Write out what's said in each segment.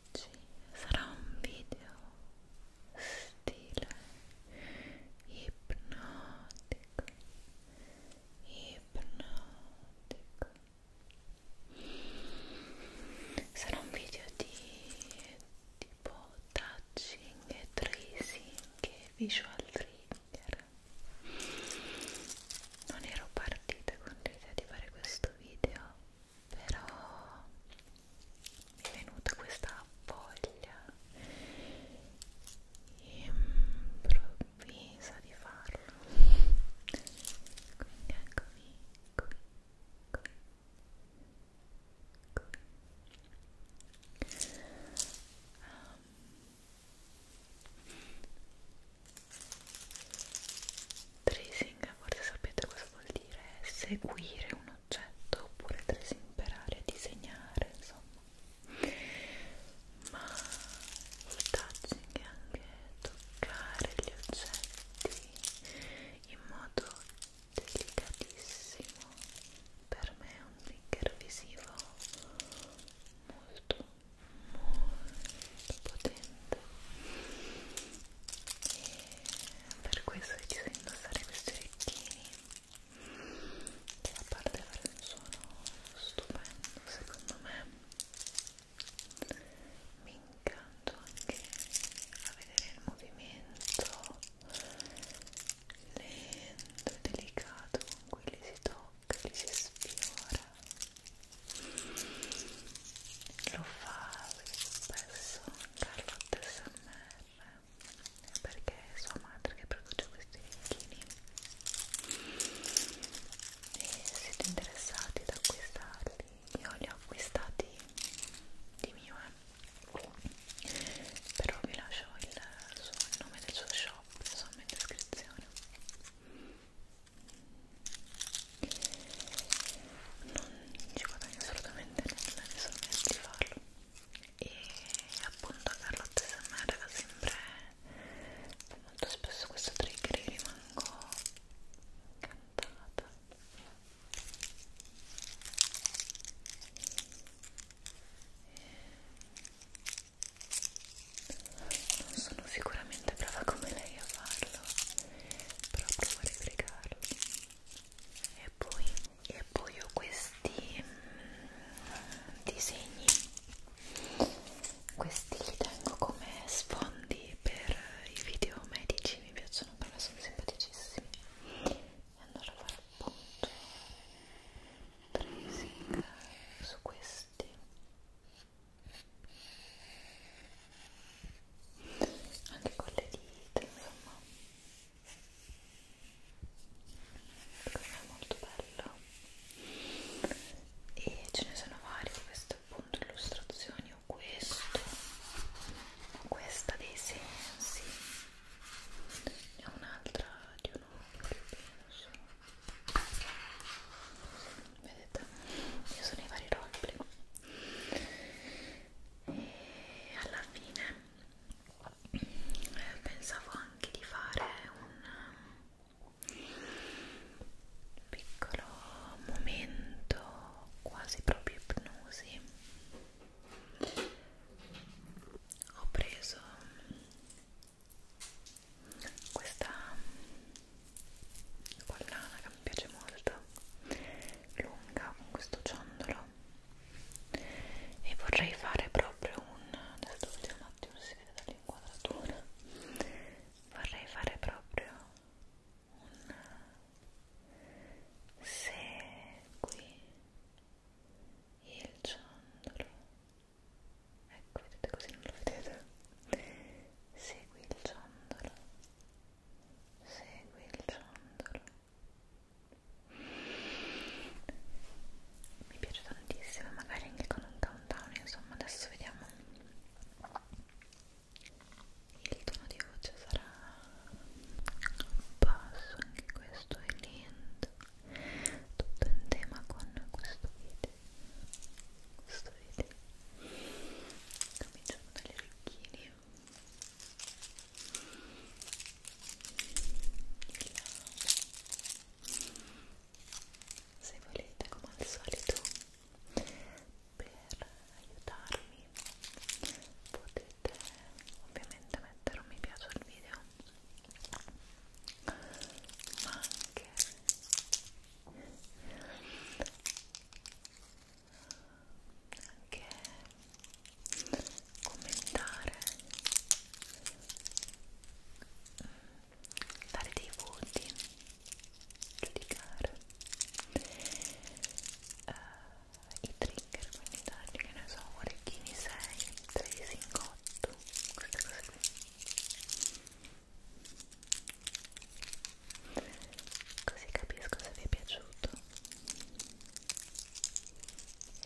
oggi sarà un video stile ipnotico ipnotico sarà un video di tipo touching e tracing e visual trigger non ero partita con l'idea di fare questo video però mi è venuta questa voglia improvvisa di farlo quindi eccomi qui, qui, qui. Um, Tracing, forse sapete cosa vuol dire, seguire un oggetto oppure tracing per aria, disegnare, insomma. Ma il touching è anche toccare gli oggetti in modo delicatissimo. Per me è un trigger visivo molto molto potente per questo ho deciso di indossare questi orecchini che a parte fare un suono stupendo secondo me mi incanto anche a vedere il movimento lento e delicato con cui li si tocca, li si sfiora lo fa che spesso Carlotta SMR perché è sua madre che produce questi ricchini e siete interessati ad acquistarli io li ho acquistati di mio eh. però vi lascio il, suo, il nome del suo shop insomma in descrizione non ci guadagno assolutamente nulla, mi sono messa di farlo e appunto Carlotta SMR da sempre molto spesso questo trigger io rimango cantata non sono sicuramente brava come lei a farlo però provo a replicarlo e poi, e poi ho questi mm, disegni questi li tengo come sfondi per i video medici mi piacciono perché sono simpaticissimi e andrò a fare appunto tracing su questi anche con le dita insomma secondo me è molto bello e ce ne sono vari queste appunto illustrazioni o questo o questa dei sensi ne ho un'altra di un occhio penso vedete io sono i vari roleplay e alla fine eh, pensavo anche di fare un um, piccolo momento quasi proprio ipnosi ho preso um, questa um, collana che mi piace molto lunga con questo ciondolo e vorrei fare proprio un adesso vediamo un attimo se si vede dall'inquadratura vorrei fare proprio un segui il ciondolo ecco vedete così non lo vedete segui il ciondolo segui il ciondolo mi piace tantissimo magari anche con un downtown insomma adesso vediamo il tono di voce sarà basso anche questo è lento tutto in tema con questo video questo video cominciamo dalle orecchini se volete come al solito per aiutarmi potete ovviamente mettere un mi piace al video ma anche anche commentare dare mm, dei voti giudicare uh, i trigger quindi dargli che ne so orecchini 6 3 5 8 queste cose qui così capisco se vi è piaciuto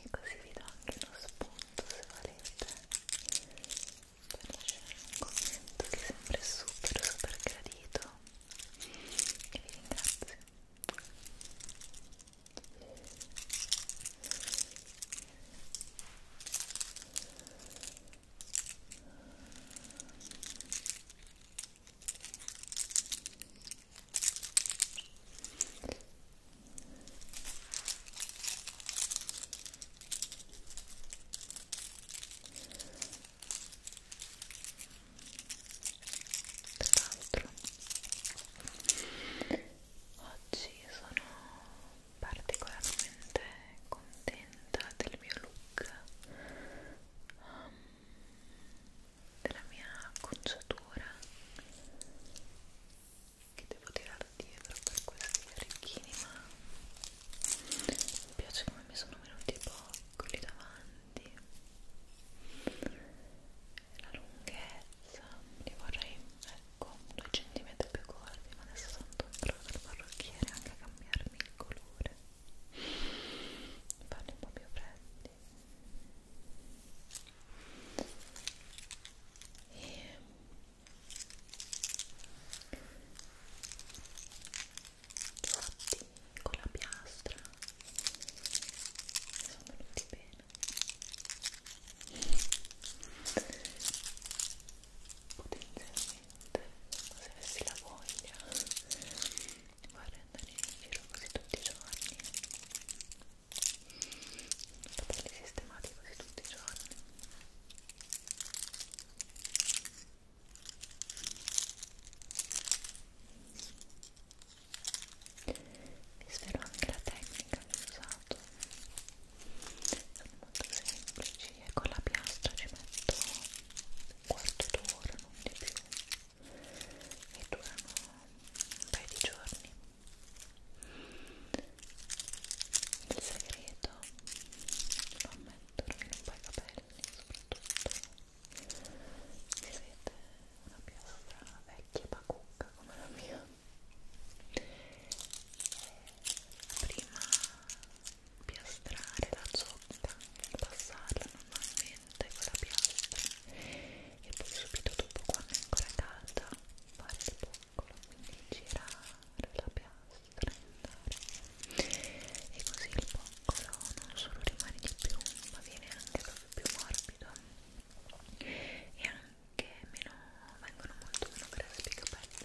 e così vi do anche uno spunto se volete per lasciare un commento che è sempre super super gradito e vi ringrazio Ecco, tra oggi sono particolarmente contenta del mio look. Um, della mia acconciatura che devo tirare dietro per questi orecchini ma mi piace come mi sono venuti i boccoli davanti la lunghezza li vorrei ecco 2 cm più corti ma adesso sono tornata dal parrucchiere anche a cambiarmi il colore farli un po' più freddi e fatti con la piastra sono venuti bene potenzialmente se avessi la voglia vorrei andare in giro così tutti i giorni capelli sistemati così tutti i giorni vi spero anche la tecnica che ho usato sono molto semplici e con la piastra ci metto un quarto d'ora non di più e durano un paio di giorni il segreto lo ammetto in un po' i capelli soprattutto se avete una piastra vecchia e pacucca come la mia e prima piastrare la zocca passarla normalmente lentamente con la piastra e poi subito dopo quando è ancora calda fare il boccolo quindi girare la piastra e così il boccolo non solo rimane di più ma viene anche proprio più morbido e anche meno vengono molto meno grassi i capelli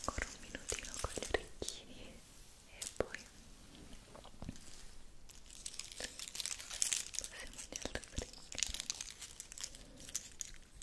Ancora un minutino con gli orecchini e poi passiamo agli altri orecchini.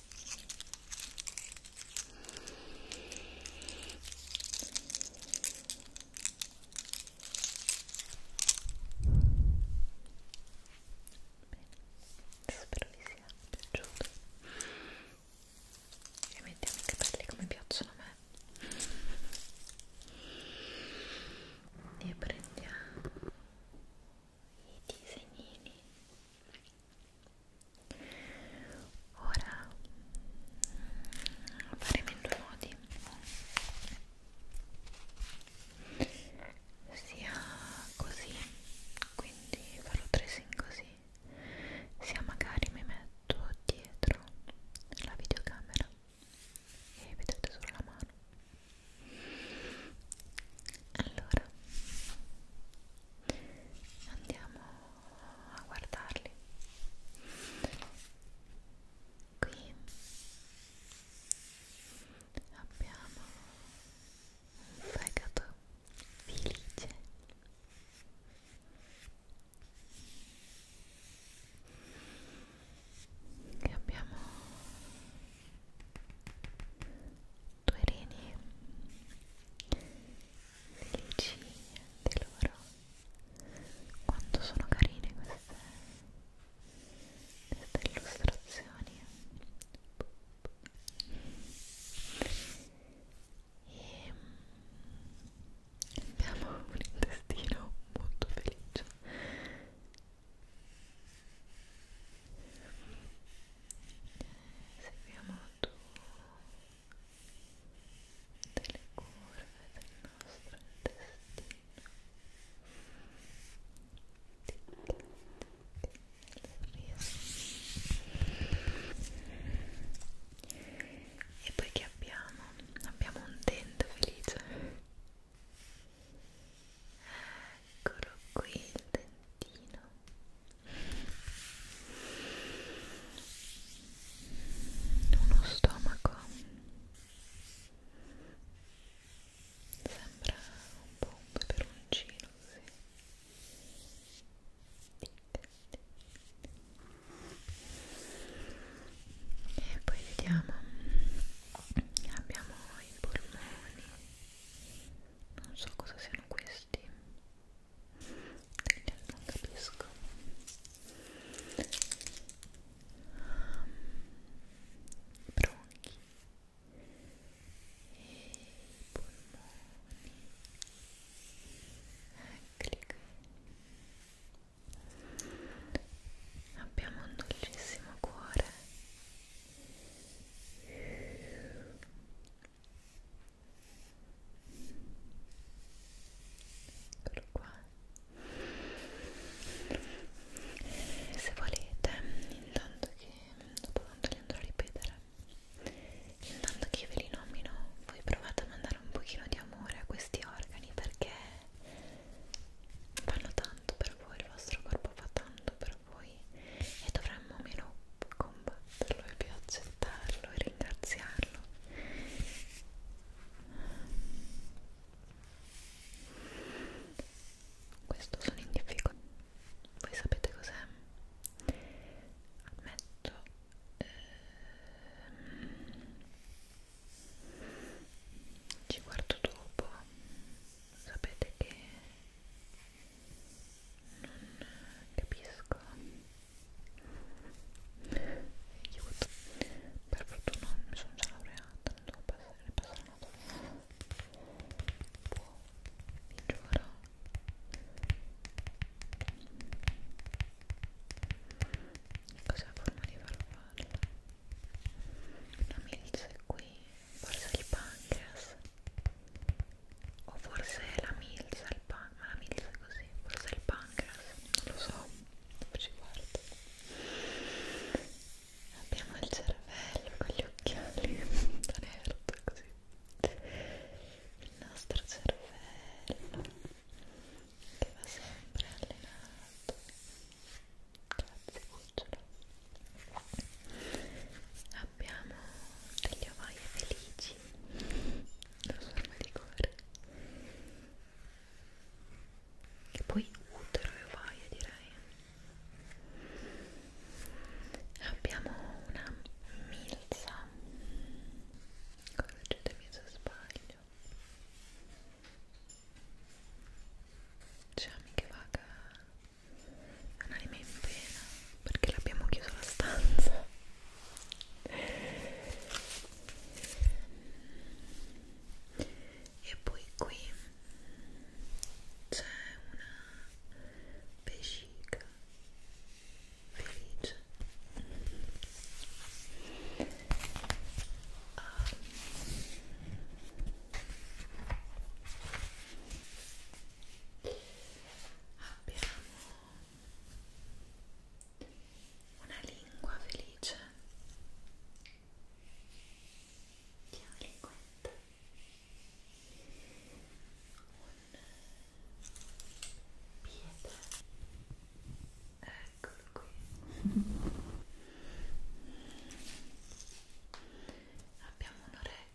spero vi sia piaciuto e mettiamo i capelli come piacciono a me e prendiamo i disegnini ora mm, faremo in due modi sia così quindi farò tracing così sia magari mi metto dietro la videocamera e vedete solo la mano allora andiamo a guardarli qui abbiamo un fegato felice e abbiamo due reni felici di loro quanto sono carine queste, queste illustrazioni e abbiamo un intestino molto felice seguiamo tu delle curve del nostro intestino e poi che abbiamo? abbiamo un dente felice eccolo qui il dentino uno stomaco sembra un po' un peperoncino così e poi vediamo abbiamo i polmoni non so cosa siano questi non capisco ehm, bronchi e polmoni eccoli qui abbiamo un dolcissimo cuore Eccolo qua. Se volete, intanto che dopo quanto li andrò a ripetere, intanto che ve li nomino, voi provate a mandare un pochino di amore a questi organi perché fanno tanto per voi, il vostro corpo fa tanto per per voi e dovremmo meno combatterlo e più accettarlo e ringraziarlo questo sono in difficoltà voi sapete cos'è? ammetto ehm, ci guardo dopo sapete che non capisco aiuto per fortuna mi sono già laureata non devo passare, passare una domanda boh, vi giuro cos'è la forma di farfalla? una milza qui forse il pancreas o forse la milza il pan ma la milza è così forse il pancreas non lo so dopo ci guardo abbiamo il cervello con gli occhiali da nerd così il nostro cervello che va sempre allenato grazie cucciolo abbiamo degli ovaie felici la forma di cuore e poi utero e ovaie direi abbiamo una milza correggetemi se sbaglio c'è anche vaga Un'anima in pena perché l'abbiamo chiuso la stanza. E poi qui c'è una vescica felice. Um, abbiamo una lingua felice chiama linguetta un piede eccolo qui abbiamo un'orecchia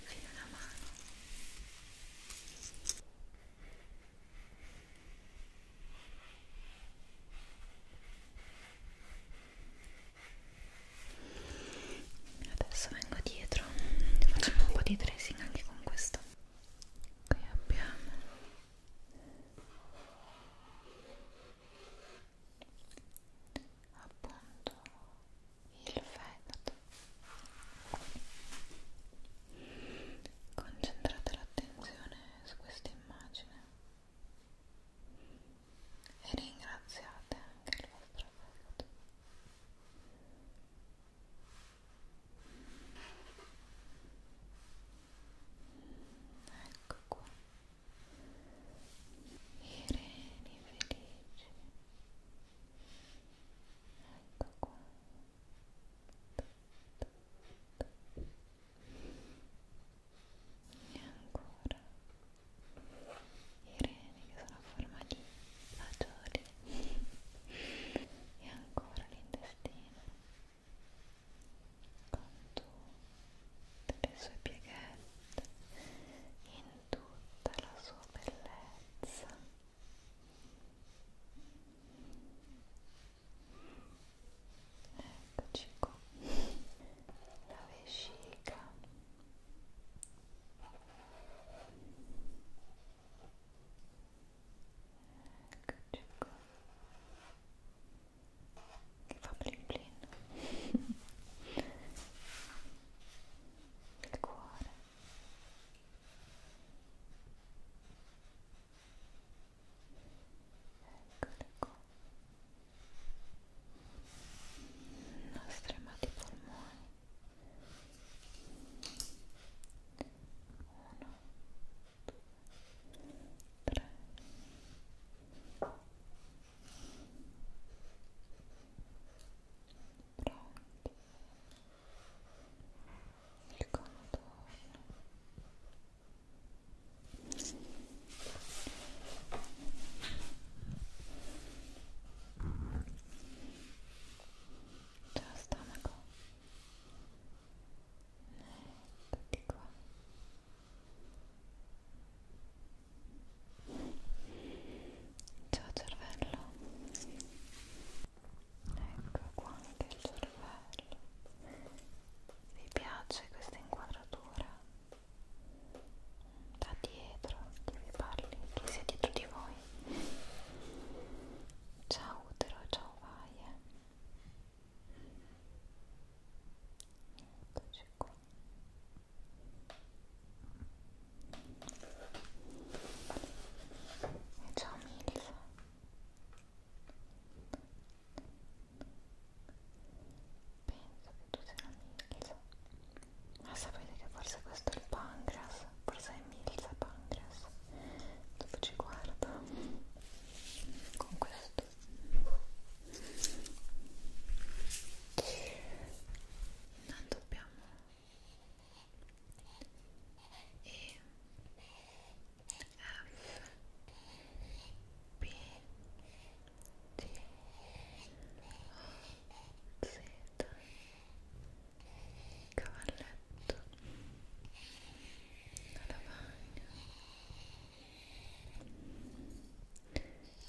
infine la mano adesso vengo dietro facciamo un po' di tracing anche con questo qui abbiamo appunto il fegato concentrate l'attenzione su questa immagine e ringraziate anche il vostro fegato ecco qua i reni felici ecco qua e ancora i reni che sono a forma di fagioli e ancora l'intestino contorno delle sue pieghette in tutta la sua bellezza eccoci qua la vescica eccoci qua che fa blin blin il cuore eccole qua i nostri amati polmoni uno, due, tre, quattro, cinque, Pronti. Il contorno. Già stomaco. Eccoti qua. Ciao cervello. Ecco qua anche il cervello. Vi piace questa inquadratura? Da dietro, chi vi parli, chi sia dietro di voi. Ciao utero, ciao vaie. Eccoci qua. E ciao mille. Penso che tu sia Milza. Ma sapete che forse questo è il pancreas? Forse è Milza pancreas. Dopo ci guardo. Con questo tutto certo. non dobbiamo e F B D O Z cavalletto la lavagna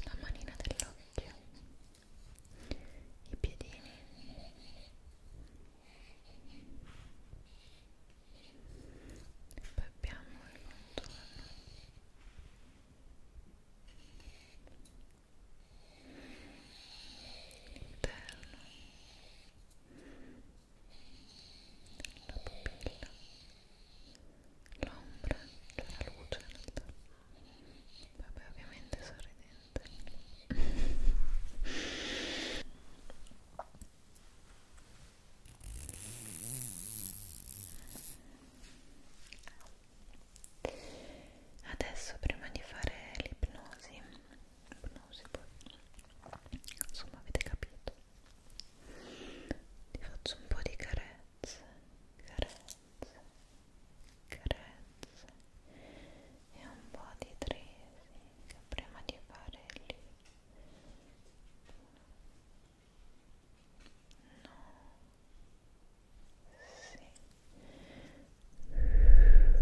la manina dell'occhio i piedini e poi abbiamo il contorno interno la pupilla l'ombra, cioè la luce in realtà vabbè ovviamente sorridente adesso prima di fare l'ipnosi l'ipnosi poi insomma avete capito ti faccio un po' di carezze, carezze, carezze e un po' di tracing prima di fare lì no sì e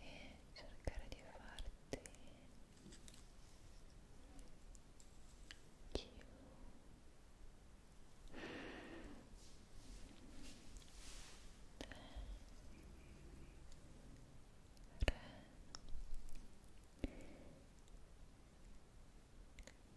e cercare di farti più Re.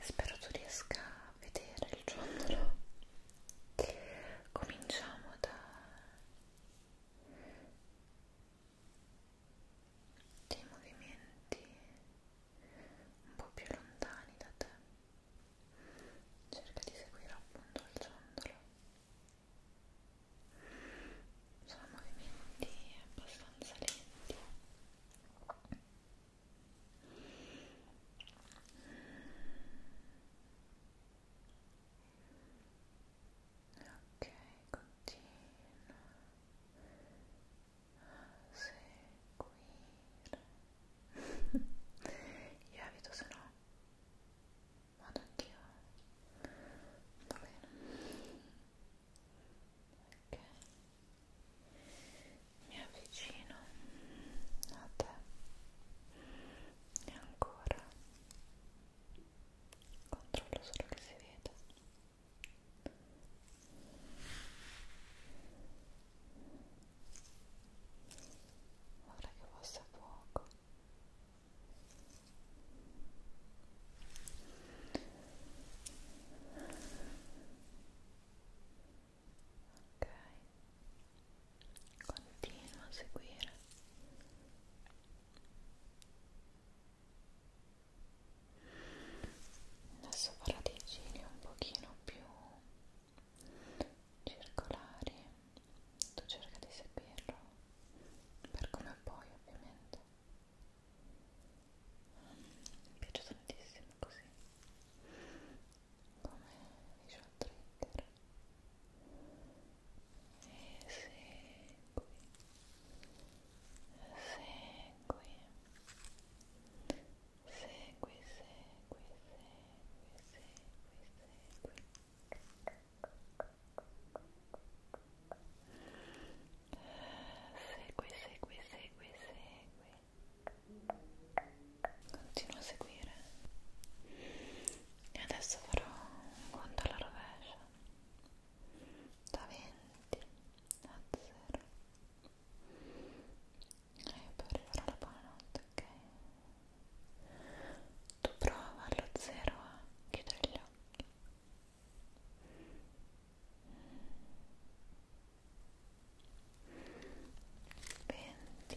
Spero tu riesca a vedere il giorno. Cominciamo da dei movimenti un po' più lontani da te cerca di seguire appunto il ciondolo sono movimenti abbastanza lenti ok continua a seguire io evito se no vado anch'io va bene ok mi avvicino a te e ancora controllo solo che si veda vorrei che fosse poco ok continua a seguire adesso farò dei giri un pochino più circolari tu cerca di seguirlo per come puoi ovviamente mi piace tantissimo così come visual trigger esegui segui segui segui segui segui segui segui segui segui continua a seguire e adesso farò un conto alla rovescia da 20 a 0 e poi arriverà la buonanotte ok tu prova allo 0 a chiudere gli occhi Venti,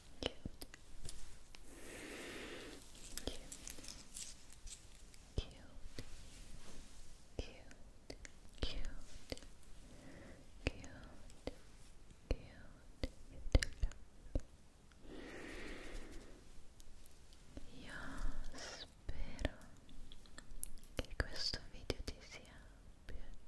Io spero che questo video ti sia piaciuto.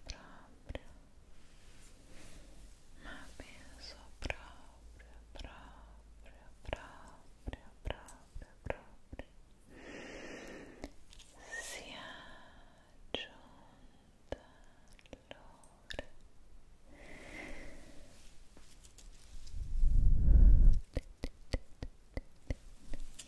proprio ma penso proprio proprio proprio proprio proprio sia giunta l'ora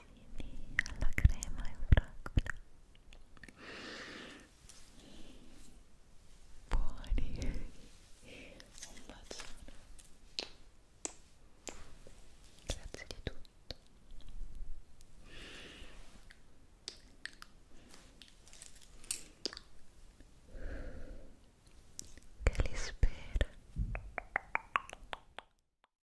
biscottini alla crema e fragola buoni un bacione grazie di tutto che li spera